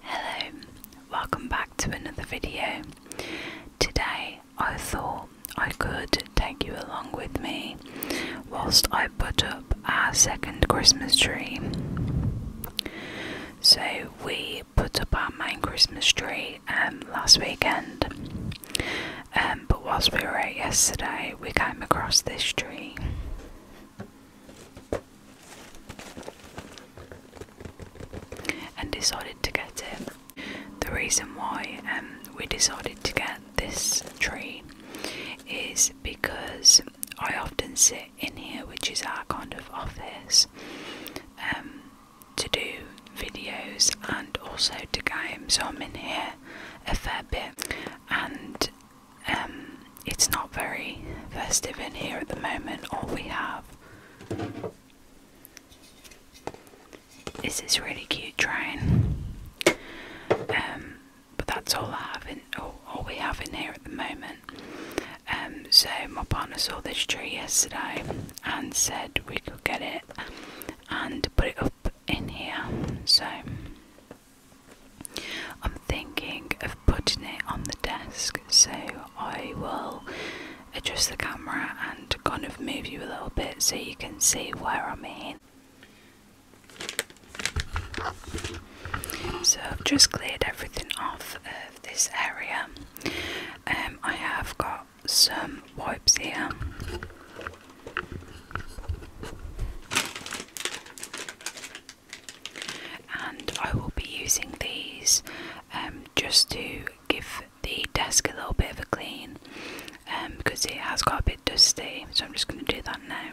Hello, welcome back to another video. Today I thought I could take you along with me whilst I put up our second Christmas tree. So we put up our main Christmas tree um, last weekend, um, but whilst we were out yesterday, we came across this tree and decided to get it. The reason why um, we decided to get this tree is because I often sit in here, which is our kind of office, um, to do videos and also to games. So I'm in here a fair bit, and um, it's not very festive in here at the moment. All we have is this really cute train, um, but that's all I have in all, we have in here at the moment. Um, so my partner saw this tree yesterday and said we could get it and put it up in here. So I'm thinking of putting it on the desk, so I will adjust the camera and kind of move you a little bit so you can see where I'm in. So I've just cleared everything off of this area. Um, I have got some wipes here and I will be using these um, just to give the desk a little bit of a clean because um, it has got a bit dusty so I'm just going to do that now.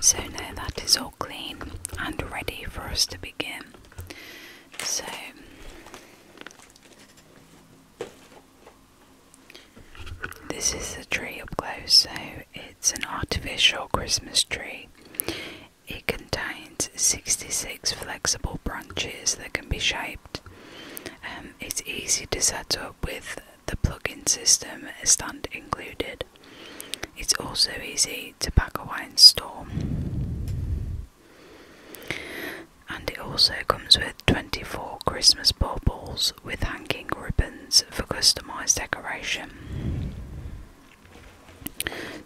So now that is all clean and ready for us to begin. So this is the tree up close, so it's an artificial Christmas tree. It contains 66 flexible branches that can be shaped um, it's easy to set up with the plug-in system stand included. It's also easy to pack away and store. And it also comes with 24 Christmas baubles with hanging ribbons for customised decoration.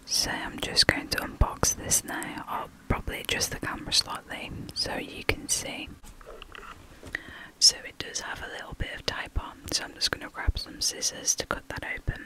So I'm just going to unbox this now. i oh, probably adjust the camera slightly so you can see. So it does have a little bit of tape on, so I'm just going to grab some scissors to cut that open.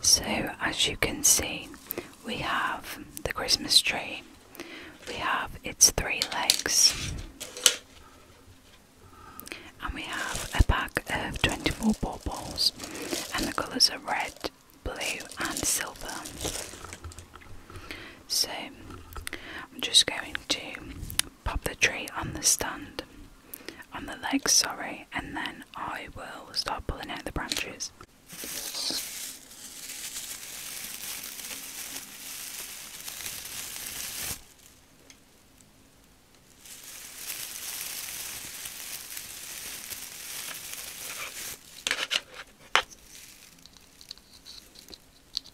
So, as you can see, we have the Christmas tree, we have its three legs, and we have a pack of 24 balls, and the colours are red, blue, and silver. So, I'm just going to pop the tree on the stand, on the legs, sorry, and then I will start pulling out the branches.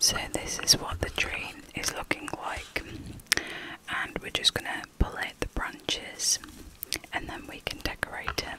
So this is what the tree is looking like and we're just going to pull out the branches and then we can decorate it.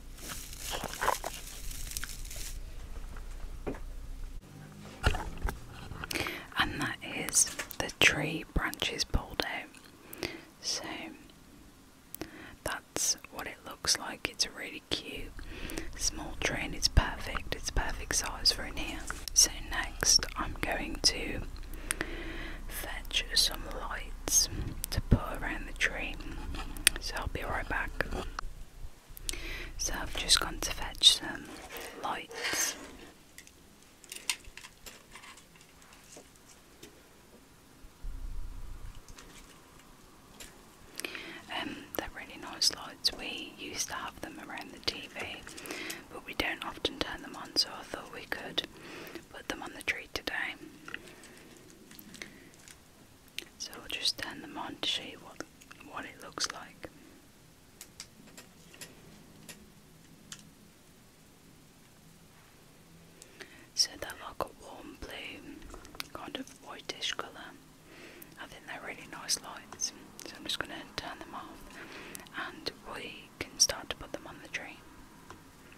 And that is the tree branches pulled out. So that's what it looks like. It's really cute small tree and it's perfect. It's perfect size for in here. So next I'm going to fetch some lights to put around the tree. So I'll be right back. So I've just gone to fetch some lights. Um, they're really nice lights. We used to have them around the TV, but we don't often turn them on, so I thought we could put them on the tree today. So I'll just turn them on to show you what, what it looks like. So they're like a warm blue, kind of whitish colour. I think they're really nice lights, so I'm just going to turn them off and we can start to put them on the tree.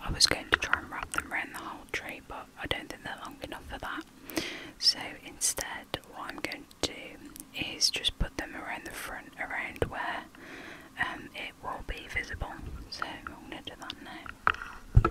I was going to try and wrap them around the whole tree, but I don't think they're long enough for that. So instead, what I'm going to do is just put them around the front, around where um, it will be visible. So I'm going to do that now.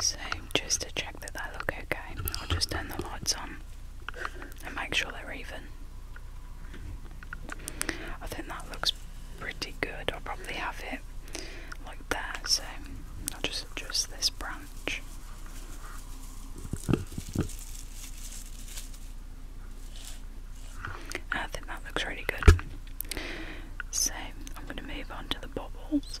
So, just to check that they look okay, I'll just turn the lights on and make sure they're even. I think that looks pretty good. I'll probably have it like that, so I'll just adjust this branch. I think that looks really good. So I'm going to move on to the bubbles.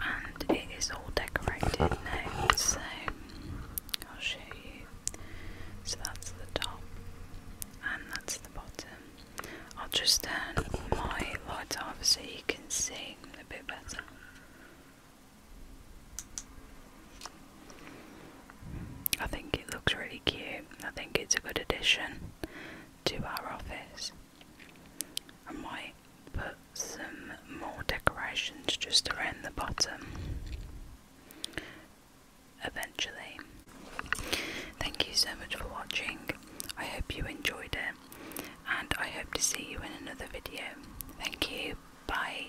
And it is all decorated now, so I'll show you. So that's the top, and that's the bottom. I'll just turn my lights off so you can see a bit better. I think it looks really cute. I think it's a good addition to our office. I might put some more decorations just around the bottom eventually. Thank you so much for watching. I hope you enjoyed it and I hope to see you in another video. Thank you. Bye.